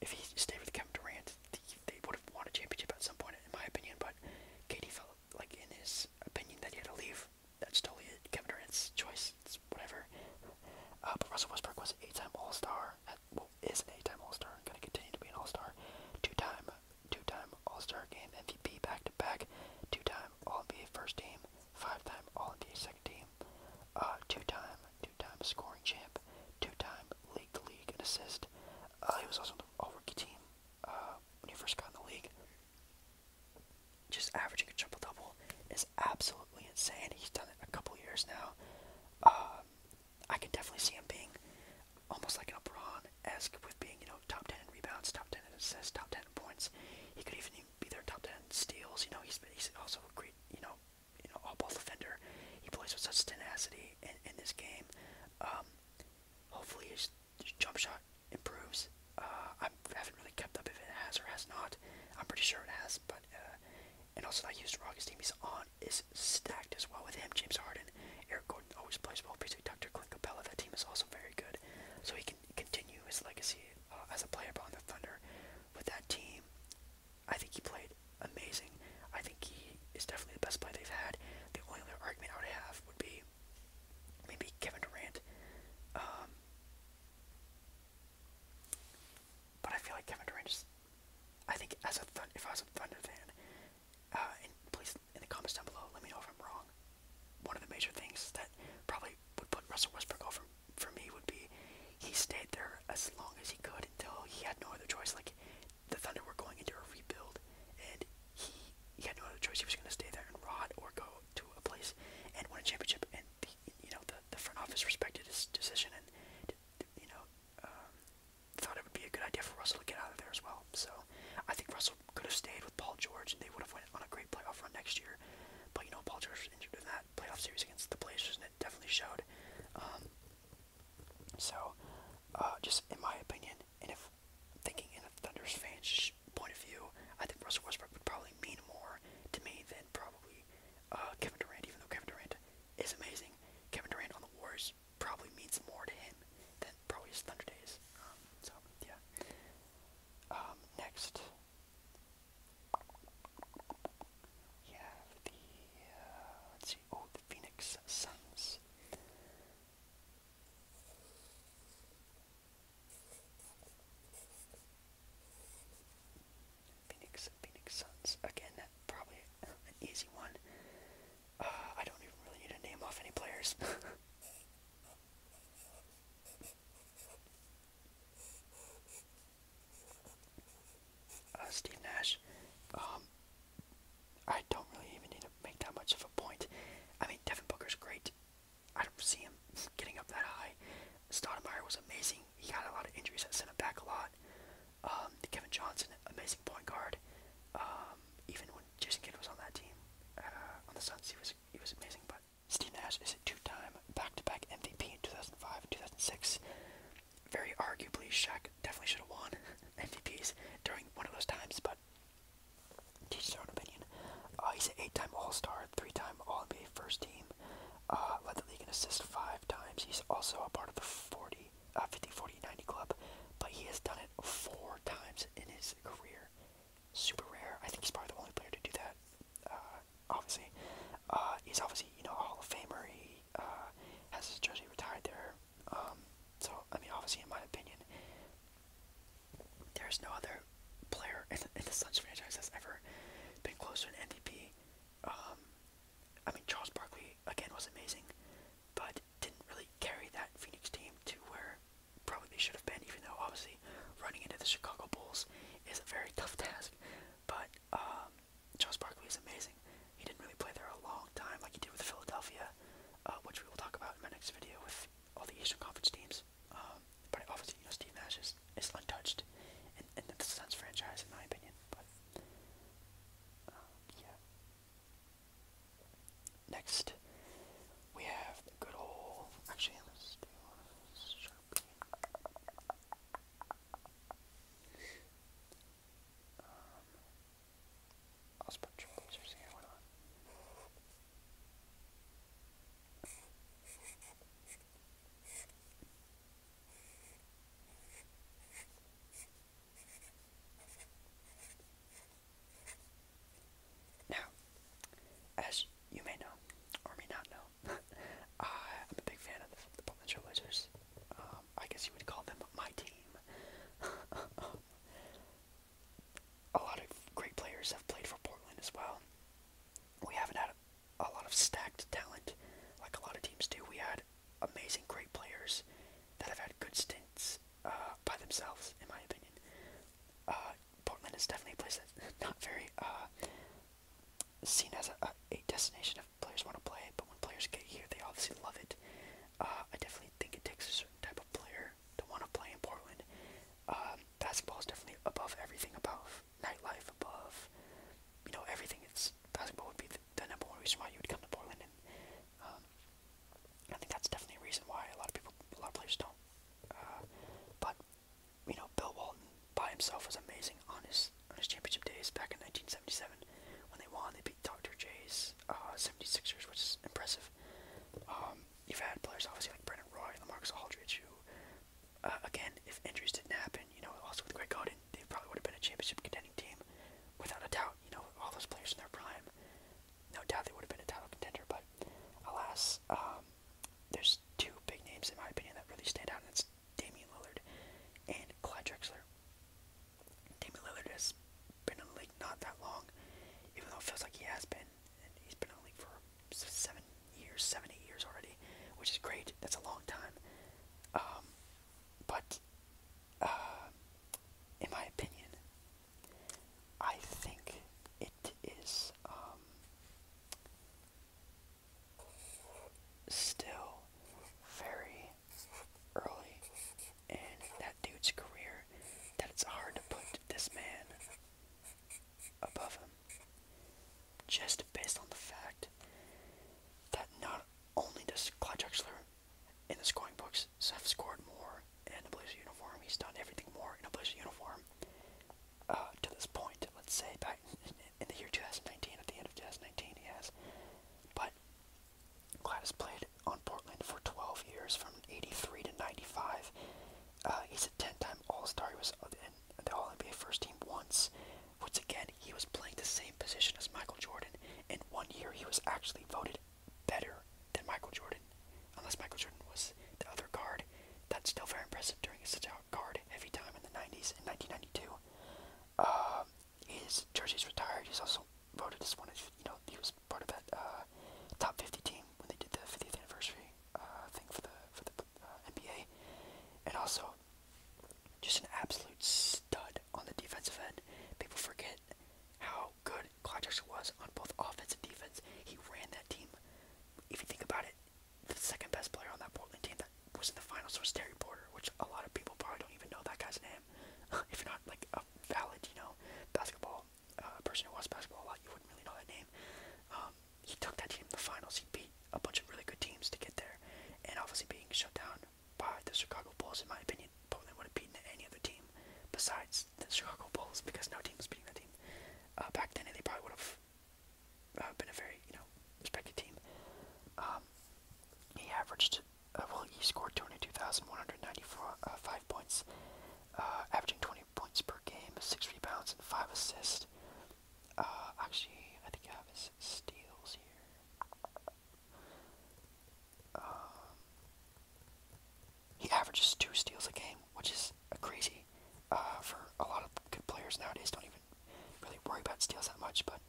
if he stayed with Kevin Durant, the, they would have won a championship at some point, in my opinion. But KD felt like, in his opinion, that he had to leave that's totally Kevin Durant's choice. It's whatever. Uh, but Russell Westbrook was an eight-time All-Star. At, well, is an eight-time All-Star. Going to continue to be an All-Star. Two-time, two-time All-Star game MVP back-to-back. Two-time All-NBA first team. Five-time All-NBA second team. Uh, two-time, two-time scoring champ. Two-time league and assist. Uh, he was also on the All-Rookie team when he first got in the league just averaging a triple double is absolutely insane. He's done it a couple years now. Um, I can definitely see him being almost like an LeBron esque with being, you know, top 10 rebounds, top 10 assists, top 10 points. He could even be their top 10 steals. You know, he's, he's also a great, you know, you know, all ball defender. He plays with such tenacity in, in this game. Hopefully um, hopefully his jump shot improves. Uh, I haven't really kept up if it has or has not. I'm pretty sure it has, but uh, and also that used His team he's on is stacked as well with him. James Harden, Eric Gordon always plays well. PJ Tucker, Clint That team is also very good, so he can continue his legacy uh, as a player on the Thunder with that team. I think he played amazing. I think he is definitely the best player they've had. The only other argument I would have would be maybe Kevin Durant. Um, but I feel like Kevin Durant just. I think as a Thun if I was a Thunder fan, uh, and please in the comments down below, let me know if I'm wrong. One of the major things that probably would put Russell Westbrook over for me would be he stayed there as long as he could until he had no other choice. Like the Thunder were going into a rebuild, and he he had no other choice. He was going to stay there and rot or go to a place and win a championship. And the, you know, the, the front office respected his decision and, you know, um, thought it would be a good idea for Russell to get out of there as well. So I think Russell could have stayed with Paul George and they would have went on a great playoff run next year. But, you know, Paul George was injured in that playoff series against the Blazers and it definitely showed. Um, so, uh, just in my opinion, and if thinking in a Thunder's fan, point of view, I think Russell Westbrook would probably mean more to me than probably uh, Kevin Durant, even though Kevin Durant is amazing. Kevin Durant on the Warriors probably means more to him than probably his Thunder days. Um, so, yeah. Um, next. We the, uh, let's see, oh, the Phoenix Suns. Phoenix, Phoenix Suns. Again, that probably an easy one. Uh, I don't even really need to name off any players. uh, Steve Nash. Um, I don't really even need to make that much of a point. I mean, Devin is great. I don't see him getting up that high. Stoudemire was amazing. He had a lot of injuries that sent him back a lot. Um, Kevin Johnson, amazing point guard. Um, even when Jason Kidd was on that team, uh, on the Suns, he was he was amazing. But Steve Nash is a two-time back-to-back MVP in 2005 and 2006. Very arguably, Shaq definitely should have won MVPs during one of those times, but teach own opinion. Uh, he's an eight-time All-Star, three-time All-NBA first team game. Uh, led the league in assists five times. He's also a part of the 40, uh, 50, 40, 90 club, but he has done it four times in his career. Super rare. I think he's probably the only player to do that. Uh, obviously, uh, he's obviously you know a Hall of Famer. He has his jersey retired there. Um, so I mean, obviously, in my opinion, there's no other player in, the Suns franchise has ever been close to an MVP. Um, I mean, Charles Barkley again was amazing, but didn't really carry that Phoenix team to where probably they should have been. Even though obviously running into the Chicago Bulls is a very tough task, but um, Charles Barkley is amazing. He didn't really play there a long time like he did with Philadelphia, uh, which we will talk about in my next video with all the Eastern Conference teams. Um, but obviously, you know, Steve Nash is, is untouched in, in the Suns franchise, in my opinion. But um, yeah. Next, we have the good old. Actually, let's do Sharpie. Um, I'll just put Trailblazers here. Why not? Now, as you may know, or may not know, uh, I'm a big fan of the, the Portland Trailblazers. Um, I guess you would call them my team. a lot of great players have played for Portland as well we haven't had a lot of stacked talent like a lot of teams do. We had amazing, great players that have had good stints uh, by themselves, in my opinion. Uh, Portland is definitely a place that's not very uh, seen as a, destination if players want to play but when players get here, they obviously love it. I definitely think it takes a certain type of player to want to play in Portland. Um, basketball is definitely above everything, above nightlife, above you know everything. It's basketball would be the, number one reason why you would come to Portland, and um, I think that's definitely a reason why a lot of people, a lot of players don't. Uh, but you know, Bill Walton by himself was amazing on his championship days back in 1977 when they won. They beat Dr. J's uh, 76ers, which is impressive. Um, you've had players obviously like Brendan Roy and Lamarcus Aldridge who uh, again, if injuries didn't happen, you know, also with Greg Godin, they probably would have been a championship contending team, without a doubt. You know, all those players in their prime, no doubt they would have been a title contender. But alas, um, there's two big names in my opinion that really stand out, and it's Damian Lillard and Clyde Drexler. Damian Lillard has been in the league not that long, even though it feels like he has been, and he's been in the league for seven years, seven years already, which is great. That's a long time. Um, but uh, in my opinion, I think it is um, still very early in that dude's career that it's hard to put this man above him. Just based on the fact that not only does Clyde Drexler in the scoring books have scored more in a Blazer uniform, he's done everything more in a Blazer uniform uh, to this point. Let's say back in, the year 2019, at the end of 2019, he has. But Clyde played on Portland for 12 years, from 83 to 95. Uh, he's a 10-time All-Star. He was in the All-NBA first team once. Once again, he was playing the same position as Michael Jordan. In one year, he was actually voted better than Michael Jordan. Unless Michael Jordan was the other guard. That's still very impressive during such a guard-heavy time in the 90s in 1992. Uh, um, his jersey's retired. He's also voted as one of, you know, he was part of that uh, top 50 team when they did the 50th anniversary uh, thing for the, for the uh, NBA, and also just an absolute stud on the defensive end. People forget how good Clyde Drexler was on both offense and defense. He ran that team. If you think about it, the second best player on that Portland team that was in the finals was Terry Porter, which a lot of people probably don't even know that guy's name. if you're not like a valid, you know, basketball uh, person who watches basketball a lot, you wouldn't really know that name. Um, he took that team to the finals. He beat a bunch of really good teams to get there, and obviously being shut down by the Chicago Bulls, in my opinion, Portland would have beaten any other team besides the Chicago Bulls because no team was beating that team. Uh, back then, they probably would have uh, been a very you know respected team. Um, he averaged uh, well, he scored 22,194 uh, five points, uh, averaging 20 points per game, six rebounds, and five assists. Uh, actually, I think I have his steals here. Um, he averages two steals a game, which is crazy. Uh, for a lot of good players nowadays, don't even really worry about steals that much. But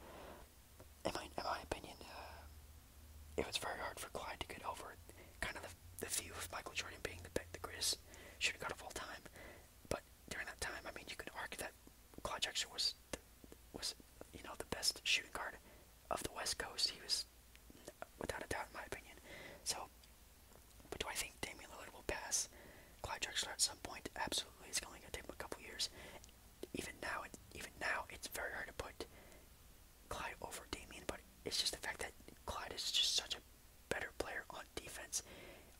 in my in my opinion, uh, it was very hard for Clyde to get over kind of the, the view of Michael Jordan being the the greatest shooting guard of all time. But during that time, I mean, you could argue that Claude Drexler was the, was you know the best shooting guard of the West Coast. He was without a doubt, in my opinion. So, but do I think Damian Lillard will pass Clyde Drexler at some point? Absolutely, it's only gonna take a couple years. Even now, even now, it's very hard to put Clyde over Damian, but it's just the fact that Clyde is just such a better player on defense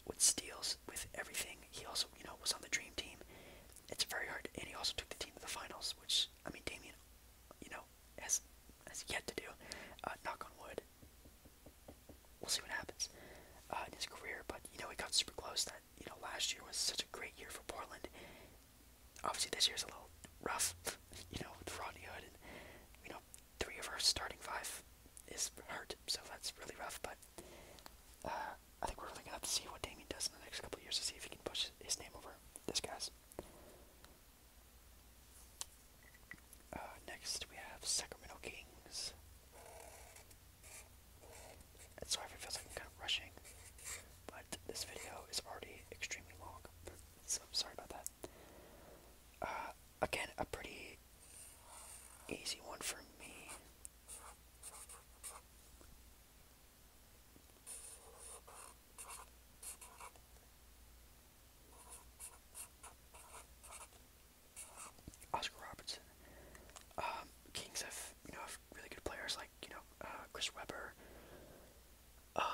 with steals, with everything. He also, you know, was on the dream team. It's very hard, and he also took the team to the finals, which I mean, Damien, you know, has has yet to do. Uh, knock on wood. We'll see what happens uh, in his career, but you know, he got super close. That you know, last year was such a great year for Portland. Obviously, this year's a little rough. you know, with Rodney Hood and you know, three of our starting five is hurt, so that's really rough. But uh, I think we're really gonna have to see what Damien does in the next couple of years to see if he can push his name over this guy's. Uh, next we have Sacramento Kings. And sorry it feels like I'm kind of rushing, but this video is already extremely long, so sorry about that. Uh, Again, a pretty easy one for me. Oscar Robertson. Um, Kings have, you know, have really good players like, you know, uh, Chris Webber. Um,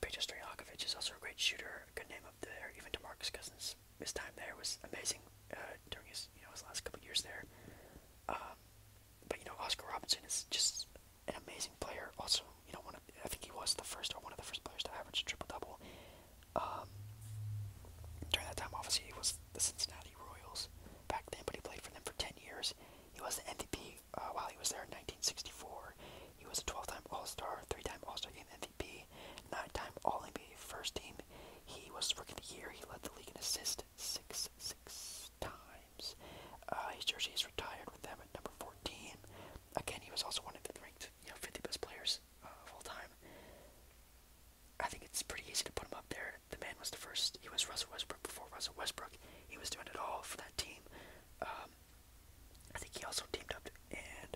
Peja Stoyakovich is also a great shooter, good name up there, even to Marcus Cousins his time there was amazing uh, during his you know his last couple years there. Um, but you know Oscar Robertson is just an amazing player. Also, you know one of, I think he was the first or one of the first players to average a triple double. Um, during that time, obviously he was the Cincinnati Royals back then, but he played for them for ten years. He was the MVP uh, while he was there in 1964. He was a 12-time All-Star, three-time All-Star game MVP. MVP, nine-time All-NBA first team. He was Rookie of the Year. He led the league in assists six, six times. Uh, his jersey is retired with them at number 14. Again, he was also one of the ranked, 50 best players uh, of all time. I think it's pretty easy to put him up there. The man was the first. He was Russell Westbrook before Russell Westbrook. He was doing it all for that team. Um, I think he also teamed up and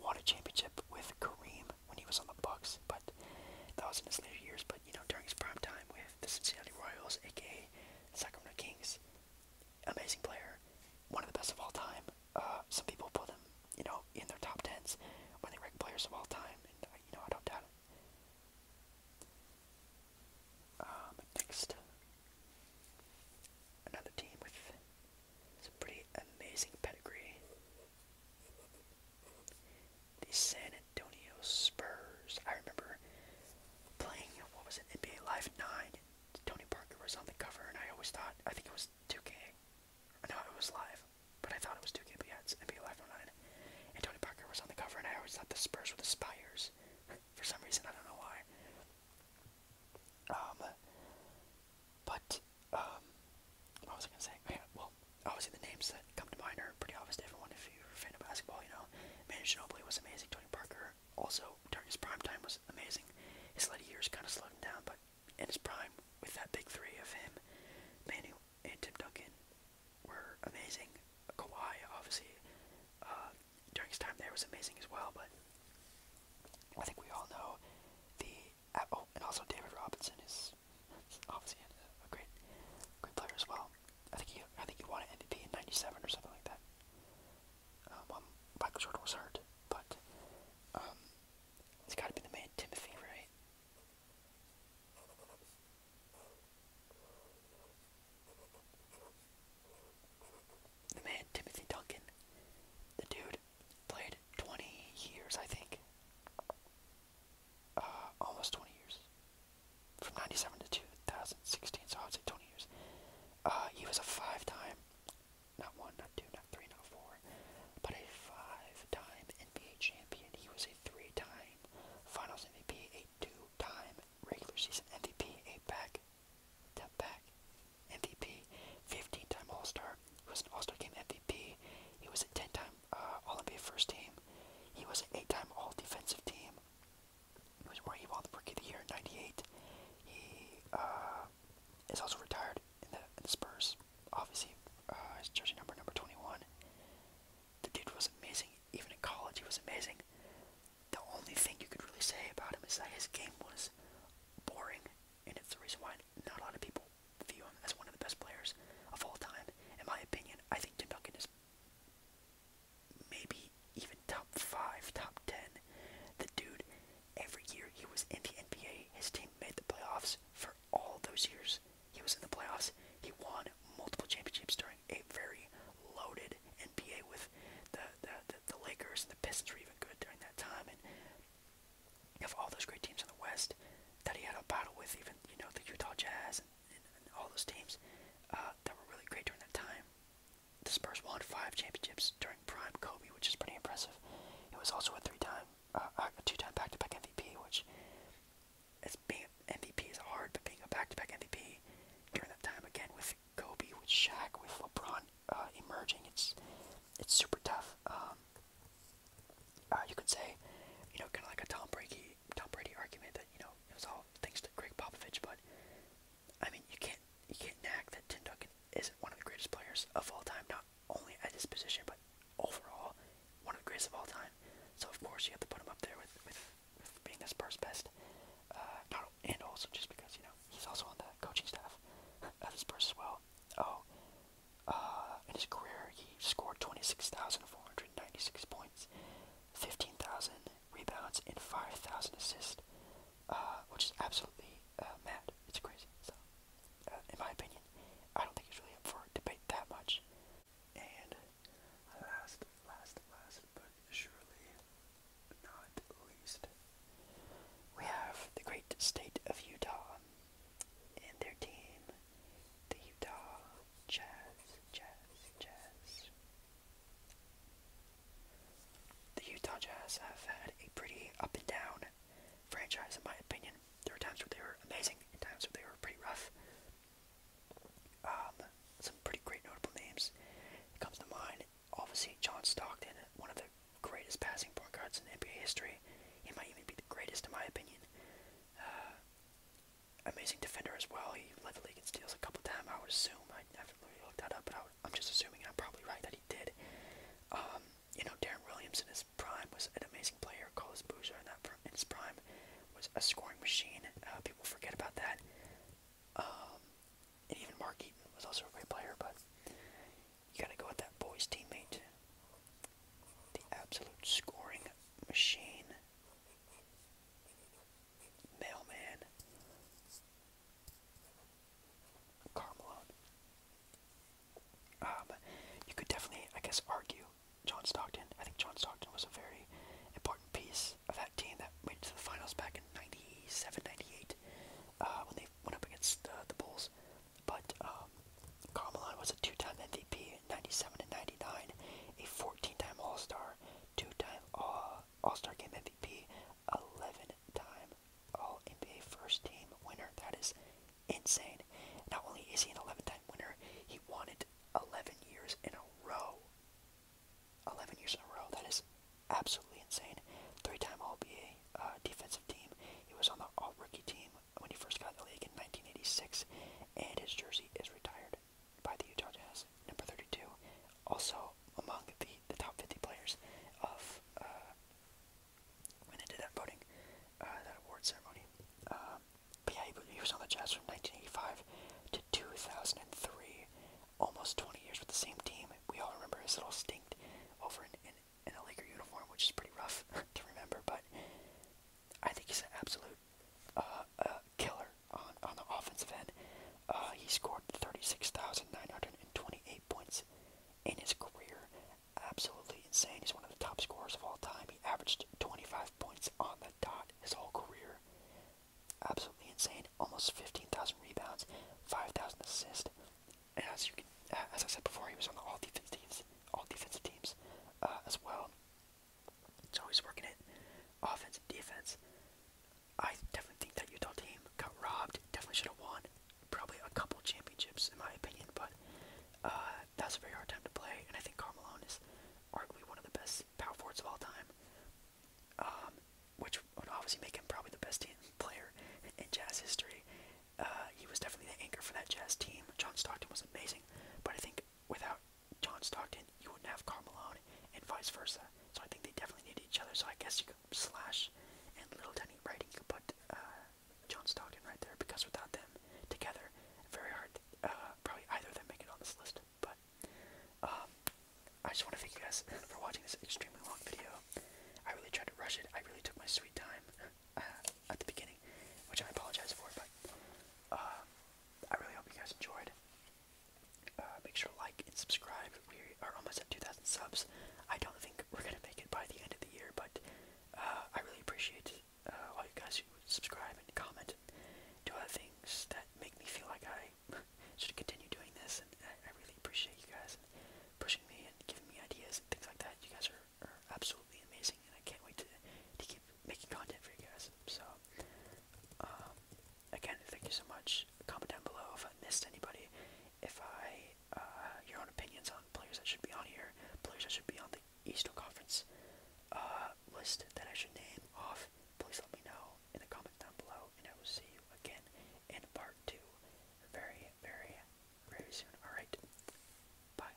won a championship with Kareem when he was on the Bucks, but that was in his later years. But you know, during his prime time with the Cincinnati Royals, aka Sacramento Kings, amazing player, one of the best of all time. Uh, some people put him, you know, in their top tens when they rank players of all time, and uh, you know, I don't doubt it. Um, next, another team with some pretty amazing pedigree. The San Antonio Spurs. I remember playing, what was it, NBA Live 9. Tony Parker was on the cover, and I always thought, I think it was 2 K. I know it was live, but I thought it was 2K, but NBA Live 9. And Tony Parker was on the cover, and I always thought the Spurs were the Spires. For some reason, I don't know why. Um, but um, what was I gonna say? Oh, yeah, well, obviously the names that come to mind are pretty obvious to everyone if you're a fan of basketball. You know, Manu Ginobili was amazing. Tony Parker also during his prime time was amazing. His later years kind of slowed him down, but in his prime, with that big three of him, Manu and Tim Duncan were amazing. Kawhi, obviously, uh, during his time there was amazing as well. But I think we all know the oh, and also David Robinson is obviously a great, great player as well. I think he, I think he won an MVP in '97 or something like that. Um, um, Michael Jordan was hurt, but um, it's got to be the man Timothy, right? The man Timothy Duncan, the dude Played 20 years, I think. Uh, almost 20 years. From 97 to 2016, so I would say 20 years. Uh, he was a five time, not one, not two, not three, not four, but a five time NBA champion. He was a three time finals MVP, a two time regular season MVP, a back, step back MVP, 15 time All Star. He was an All Star game MVP. He was a 10 time time uh, All NBA first team. He was an eight time All Defensive team. He was Rookie Ball Rookie of the Year in '98. He uh, is also retired in the, in the Spurs. Obviously, uh, his jersey number number 21. The dude was amazing. Even in college, he was amazing. The only thing you could really say about him is that his game was boring, and it's the reason why not a lot of people view him as one of the best players of all time. In my opinion, I think Tim Duncan is maybe even top five, top ten. The dude, every year he was in the NBA, his team made the playoffs for all those years. He was in the playoffs. He won multiple championships during a very loaded NBA with the the, the, the Lakers and the Pistons were even good during that time. And of all those great teams in the West that he had a battle with, even you know the Utah Jazz and, and, and all those teams uh, that were really great during that time. The Spurs won five championships during prime Kobe, which is pretty impressive. It was also a three-time, uh, a two-time back-to-back MVP, which as being MVP is hard, but being a back-to-back MVP during that time again with Kobe, with Shaq, with LeBron uh, emerging, it's it's super tough. Um, uh, you could say, you know, kind of like a Tom Brady, Tom Brady argument that you know it was all thanks to Greg Popovich, but I mean, you can't you can't nag that Tim Duncan isn't one of the greatest players of all time, not only at his position, but overall one of the greatest of all time. So of course you have to put him up there with with, with being the Spurs best, uh, not, and also just because you know he's also on the coaching staff at the Spurs as well. Oh, uh, in his career, he scored 26,496 points, 15,000 rebounds, and 5,000 assists, uh, which is absolutely uh, mad. It's crazy. So, in my opinion, I don't think it's really up for debate that much. And last, last, last, but surely not least, we have the great state of Utah and their team, the Utah Jazz, Jazz, Jazz. The Utah Jazz have had a pretty up and down franchise, in my opinion. There are times where they were amazing, and times where they were pretty rough. Um, some pretty great notable names it comes to mind. Obviously, John Stockton, one of the greatest passing point guards in NBA history. He might even be the greatest, in my opinion. Uh, amazing defender as well. He led the league in steals a couple times. I would assume. I haven't really looked that up, but I am just assuming, and I'm probably right that he did. Um, you know, Darren Williams in his prime was an amazing player. Carlos Boozer in that in his prime was a scoring machine. Uh, people forget about that. Um, and even Mark Eaton was also a great player, but you gotta go with that boy's teammate the absolute scoring machine, Mailman, Carmelone. Um, you could definitely, I guess, argue John Stockton. I think John Stockton was a very important piece of that team that made it to the finals back in 97, uh, when they went up against uh, the Bulls. But um, was a two-time MVP, 97 and 99, a 14-time All-Star, two-time uh, All star 2 time all star Game MVP, 11-time All NBA First Team winner. That is insane. Not only is he an 11-time winner, he won it 11 years in a row. 11 years in a row. That is absolutely insane. Three-time All-NBA uh, defensive team. He was on the All-Rookie team when he first got in the league in 1986, and his jersey is retired by the Utah Jazz, number 32. Also among the, the top 50 players of uh, when they did that voting, uh, that award ceremony. Um, but yeah, he, was on the Jazz from 1985 to 2003, almost 20 years with the same team. We all remember his little stint over in, in, in a Laker uniform, which is pretty rough to remember, but I think he's an absolute uh, uh, killer on, on the offensive end. Uh, he scored 36,928 points in his career. Absolutely insane. He's one of the top scorers of all time. He averaged 25 points on the dot his whole career. Absolutely insane. Almost 15,000 rebounds, 5,000 assists. as you can, as I said before, he was on all defense all defensive teams as well. It's always working it offense and defense. I definitely think that Utah team got robbed. Definitely should have won probably a couple championships in my opinion, but uh, that's a very hard time to play. And I think Carmelo is arguably one of the best power forwards of all time, um, which would obviously make him probably the best player in, in Jazz history. Uh, he was definitely the anchor for that Jazz team. John Stockton was amazing, but I think without John Stockton, you wouldn't have Carmelo, and vice versa. So I think they definitely need each other. So I guess you could slash and little tiny writing, you could put uh, John Stockton right there because without them together, very hard. Uh, probably either of them make it on this list. But um, I just want to thank you guys for watching this extremely long video. I really tried to rush it. I really took my sweet time. Uh, at the beginning, which I apologize for, but uh, I really hope you guys enjoyed. Uh, make sure to like and subscribe. We are almost at 2,000 subs. I don't think we're gonna make it by the end of the year, but I really appreciate all you guys who subscribe and comment and do other things that make me feel like I should continue doing this. And I, really appreciate you guys pushing me and giving me ideas and things like that. You guys are absolutely amazing, and I can't wait to, to keep making content for you guys. So, um, again, thank you so much. Comment down below if I missed anybody, if I, uh, your own opinions on players that should be on here, players that should be on the Eastern Conference uh, list that I should name off. Please let me know in the comments down below, and I will see you again in part two very, very, very soon. Alright, bye.